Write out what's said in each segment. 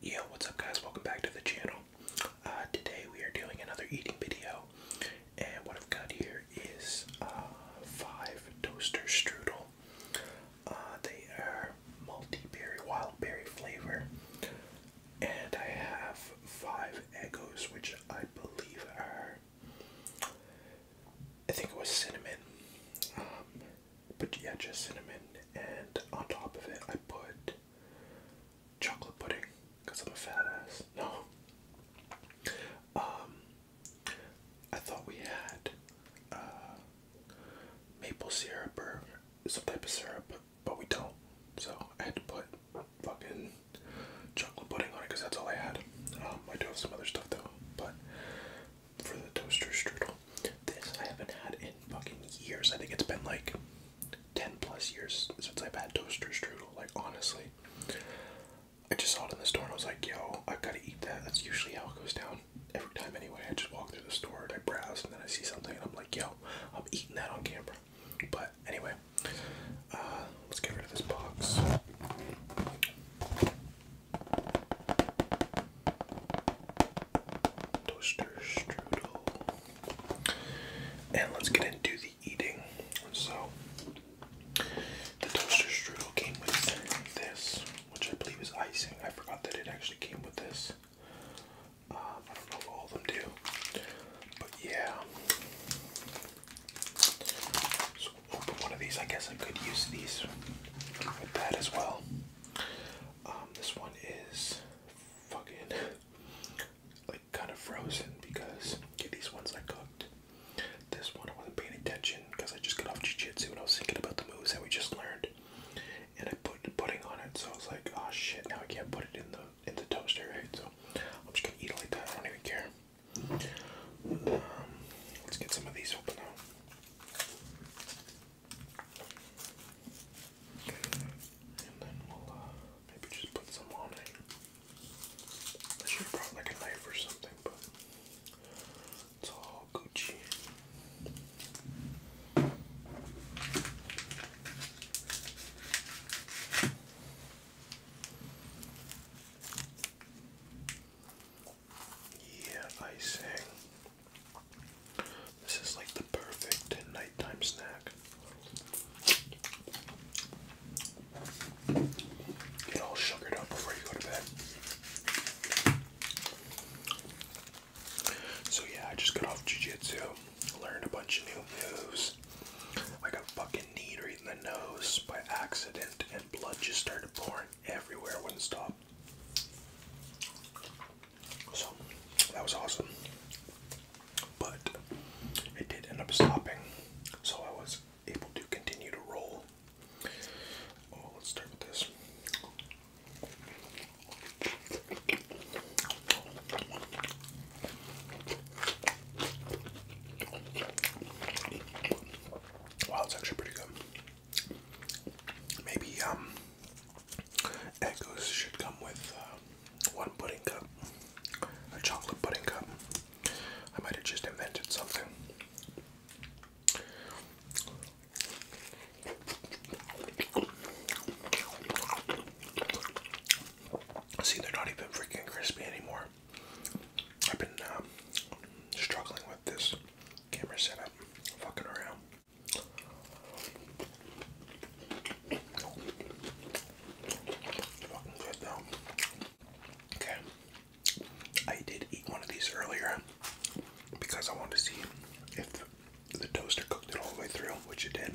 Yo, what's up guys? Welcome back to the channel. Uh, today we are doing another eating video. And what I've got here is uh, five toaster strudel. Uh, they are multi-berry, wild berry flavor. And I have five egos, which I believe are I think it was cinnamon. Um, but yeah, just cinnamon. And on top of it, I put chocolate pudding because I'm a fat ass. No. Um, I thought we had uh, maple syrup or some type of syrup, but, but we don't. So I had to put fucking chocolate pudding on it because that's all I had. Um, I do have some other stuff though, but for the toaster strudel, this I haven't had in fucking years. I think it's been like 10 plus years since I've had toaster strudel, like honestly. I just saw it in the store and I was like, yo, I gotta eat that. That's usually how it goes down every time anyway. I just walk through the store and I browse and then I see something and I'm like, yo, I'm eating that on camera. But anyway, uh, let's get rid of this box. Toaster strudel. And let's get into the eating. So, the toaster strudel came with this, which I believe is icing. I forgot that it actually came with this. Uh, I don't know if all of them do. But yeah open one of these. I guess I could use these with that as well. Um, this one is fucking like kind of frozen because yeah, these ones I cooked. This one I wasn't paying attention because I just got off jiu-jitsu and I was thinking about the moves that we just learned, and I put pudding on it. So I was like, oh shit, now I can't put it in the it's a toaster, right? So I'm just gonna eat it like that. I don't even care. Um, let's get some of these open now. And then we'll uh, maybe just put some on it. I should have brought like a knife or something, but it's all Gucci. Yeah, icing. This is like the perfect nighttime snack. Get all sugared up before you go to bed. So yeah, I just got off jujitsu, learned a bunch of new moves. I got fucking knee or the nose by accident, and blood just started pouring everywhere, wouldn't stop. So that was awesome, but it did end up stopping, so I was able to continue to roll. Oh, let's start with this. Wow, it's actually pretty good. Maybe um, should come with uh, one pudding cup, a chocolate pudding cup. I might have just invented something. See, they're not even freaking crispy anymore. I've been um, struggling with this camera setup, fucking around. Fucking good though. Okay, I did eat one of these earlier because I wanted to see if the toaster cooked it all the way through, which it did.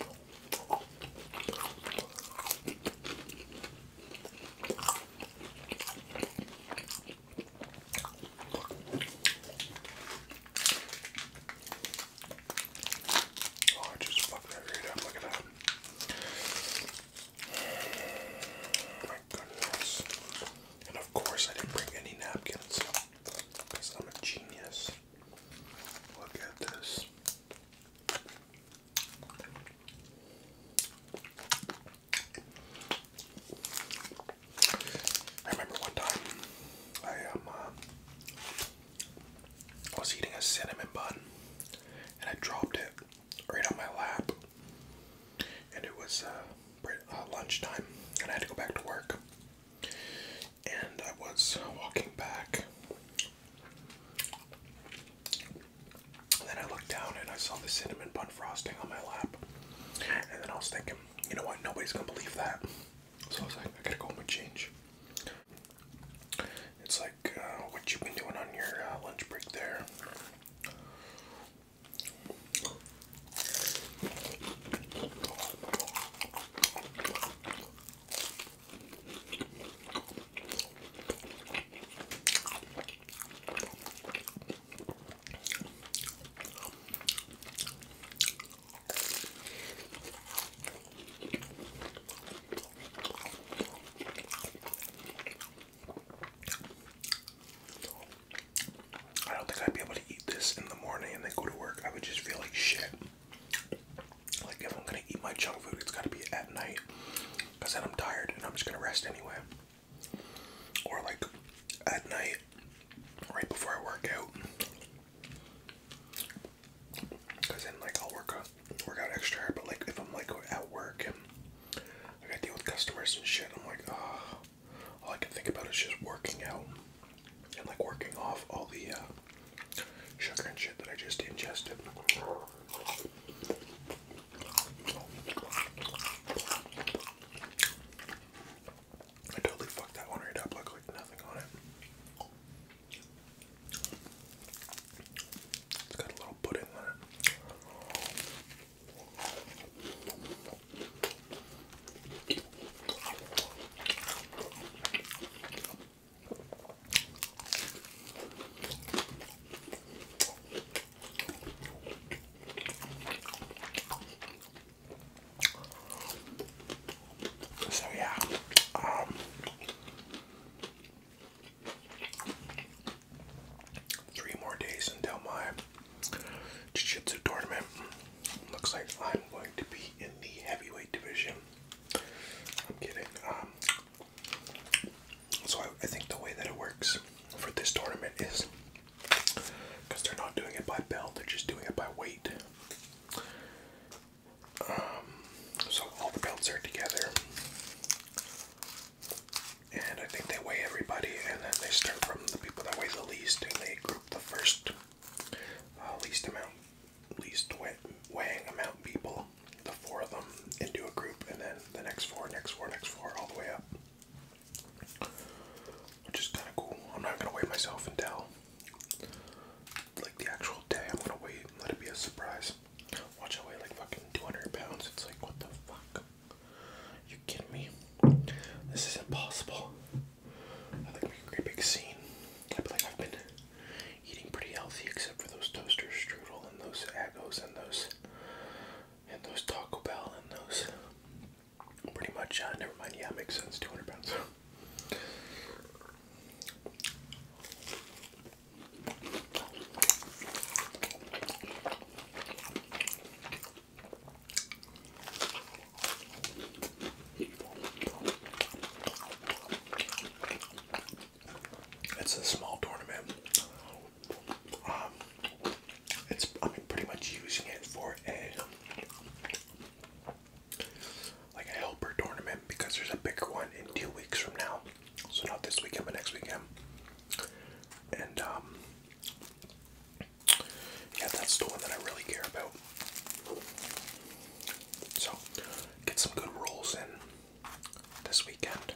Oh, oh, my goodness. And of course, I didn't bring any napkins because I'm a genius. Look at this. I remember one time I um uh, I was eating a cinnamon bun and I dropped it right on my lap and it was uh, uh, lunchtime and I had to go back to work and I was walking back and then I looked down and I saw the cinnamon bun frosting on my lap. And then I was thinking, you know what, nobody's gonna believe that. So I was like, I gotta go home and change. It's like uh, what you've been doing on your uh, lunch break there. I don't think I'd be able to eat this in the morning and then go to work. I would just feel like shit. Like if I'm gonna eat my junk food, it's gotta be at night. Cause then I'm tired and I'm just gonna rest anyway. Or like at night, right before I work out. Cause then like I'll work out, work out extra But like if I'm like at work and I gotta deal with customers and shit, I'm like, ah. Oh. All I can think about is just working out and like working off all the uh, sugar and shit that I just ingested. I totally fucked that one right up, like, like nothing on it. It's got a little pudding on it. So yeah, um, three more days until my jiu-jitsu tournament. Looks like I'm going to be in the heavyweight division. I'm kidding. Um, so I, think the way that it works for this tournament is because they're not doing it by belt, they're just doing it by weight. Um, so all the belts are together, and I think they weigh everybody, and then they start from the people that weigh the least, and they group the first uh, least amount at least weighing amount people, the four of them, into a group, and then the next four, next four, next four, all the way up. Which is kind of cool. I'm not going to weigh myself until like the actual day. I'm going to wait let it be a surprise. Watch, I weigh like fucking 200 pounds. It's like, what the fuck? You kidding me? This is impossible. I think be a great big scene. I feel like I've been eating pretty healthy except for those toaster strudel and those agos and those and those Taco Bell and those pretty much uh, never mind yeah it makes sense 200 pounds it's a small tournament. Um, it's I'm pretty much using it for a like a helper tournament because there's a bigger one in two weeks from now. So not this weekend, but next weekend. And um, yeah, that's the one that I really care about. So get some good rolls in this weekend.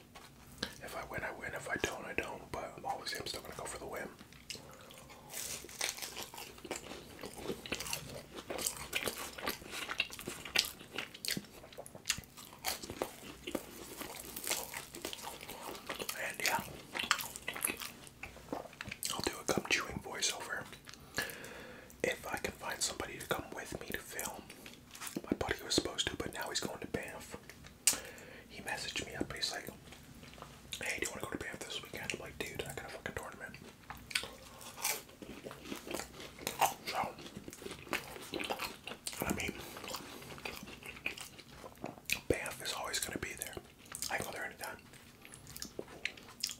If I win, I win. If I don't, I don't. But obviously, I'm still gonna go for the win. And yeah, I'll do a gum chewing voiceover if I can find somebody to come with me to film, my buddy was supposed to, but now he's going to Banff. He messaged me up and he's like, hey, do you want to go to Banff this weekend? I'm like, dude, I got a fucking tournament. So, I mean, Banff is always going to be there. I go there anytime.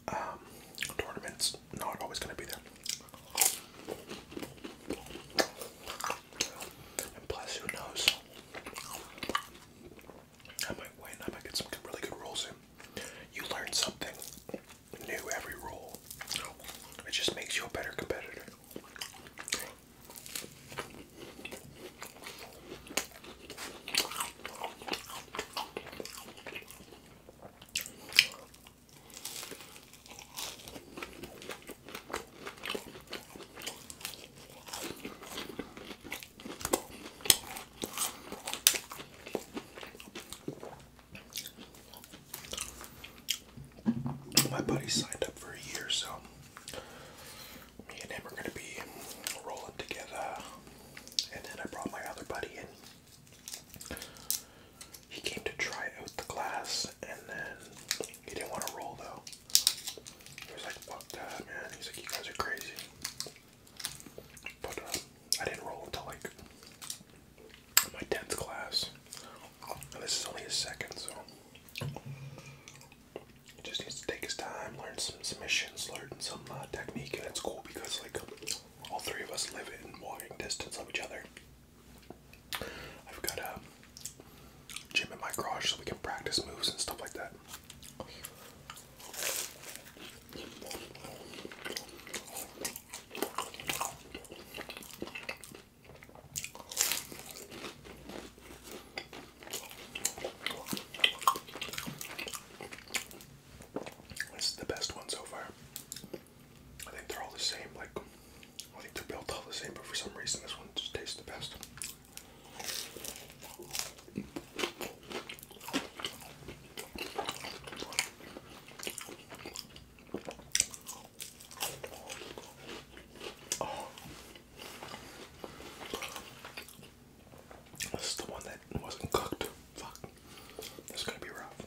Um, tournament's not always going to be there. And plus, who knows? I might win. I might get some really good rolls in. You learn something new every roll. It just makes you a better competitor. My buddy signed up for a year, so me and him are going to be rolling together. And then I brought my other buddy in. He came to try out the glass and then he didn't want to roll though. He was like, fuck that, man. He's like, you guys are crazy. But um, I didn't roll until like my 10th class. this is only his second, so. He just needs to take his time, learn some submissions, learn some uh, technique, and it's cool because, like, all three of us, live in walking distance of each other. I've got a gym in my garage so we can practice moves and stuff like that. This is the best one so far. I think they're all the same. Like, I think they're built all the same, but for some reason, this one just tastes the best. Oh. This is the one that wasn't cooked. Fuck. This is gonna be rough.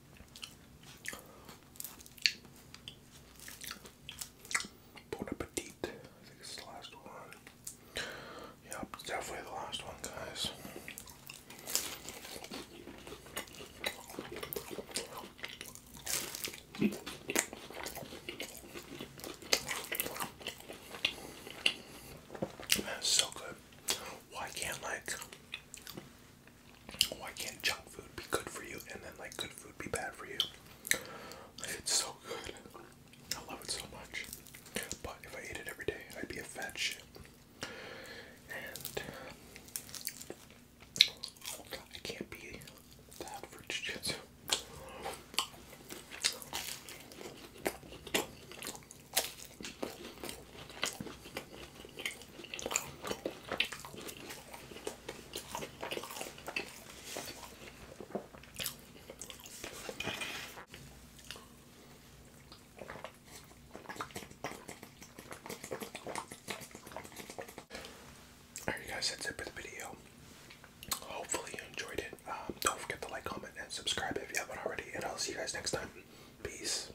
Bon appetit. I think the last one. Yep, definitely the last one, guys. That's so good. Why can't like why oh, can't junk food be good for you and then like good food be bad for you? It's so good. I love it so much. But if I ate it every day, I'd be a fat shit. And oh I can't be that for Alright guys, that's it for the video. Hopefully you enjoyed it. Um, don't forget to like, comment, and subscribe if you haven't already. And I'll see you guys next time. Peace.